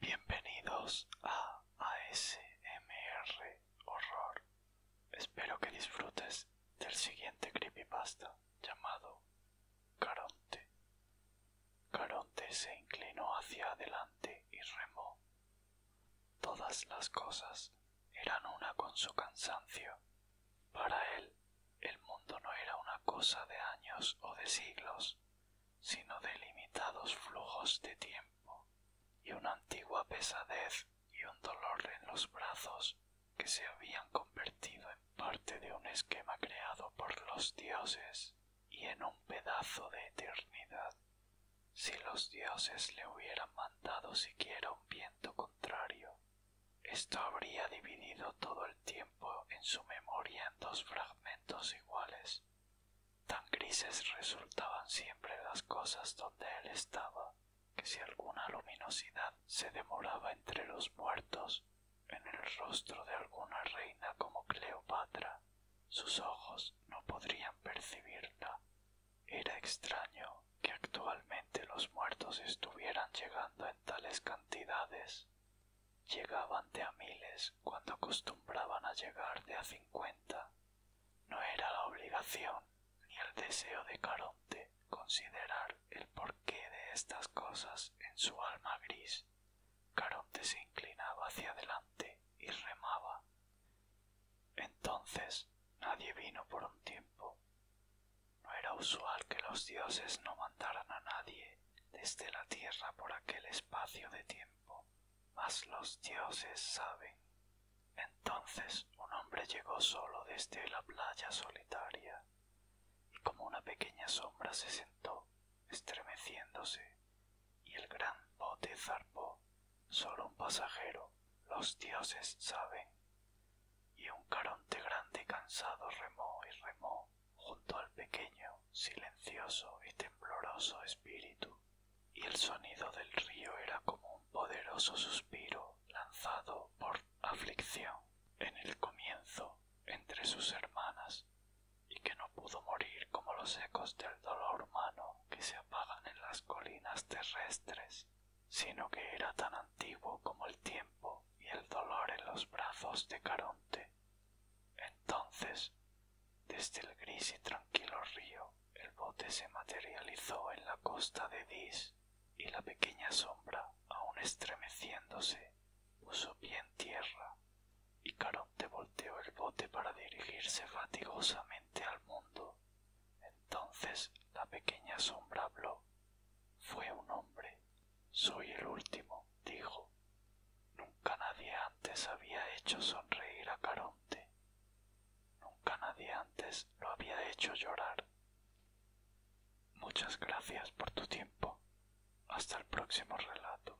Bienvenidos a ASMR Horror. Espero que disfrutes del siguiente creepypasta llamado Caronte. Caronte se inclinó hacia adelante y remó Todas las cosas eran una con su cansancio. Para él, el mundo no era una cosa de años o de siglos, sino de limitados flujos de tiempo, y una antigua pesadez y un dolor en los brazos que se habían convertido en parte de un esquema creado por los dioses y en un pedazo de eternidad. Si los dioses le hubieran mandado siquiera un viento contrario, esto habría dividido todo el tiempo en su memoria en dos fragmentos iguales. Tan grises resultaban siempre las cosas donde él estaba, que si alguna luminosidad se demoraba entre los muertos, en el rostro de alguna reina como Cleopatra, sus ojos no podrían percibirla, era extraño que actualmente los muertos estuvieran llegando en tales cantidades. Llegaban de a miles cuando acostumbraban a llegar de a cincuenta. No era la obligación ni el deseo de Caronte considerar el porqué de estas cosas en su alma gris. Caronte se inclinaba hacia adelante y remaba entonces nadie vino por un tiempo. No era usual que los dioses no mandaran a nadie desde la tierra por aquel espacio de tiempo, mas los dioses saben. Entonces un hombre llegó solo desde la playa solitaria y como una pequeña sombra se sentó, estremeciéndose, y el gran bote zarpó solo un pasajero, los dioses saben. Y un caronte grande y cansado remó y remó junto al pequeño, silencioso y tembloroso espíritu, y el sonido del río era como un poderoso suspiro lanzado por aflicción en el comienzo entre sus hermanas, y que no pudo morir como los ecos del dolor humano que se en las colinas terrestres, sino que era tan antiguo como el tiempo y el dolor en los brazos de Caronte. Entonces, desde el gris y tranquilo río, el bote se materializó en la costa de Dis, y la pequeña sombra, aun estremeciéndose, puso pie en tierra, y Caronte volteó el bote para dirigirse fatigosamente al mundo. Entonces la pequeña sombra habló. Fue un hombre. Soy el último, dijo. Nunca nadie antes había hecho sonreír a Caronte. Nunca nadie antes lo había hecho llorar. Muchas gracias por tu tiempo. Hasta el próximo relato.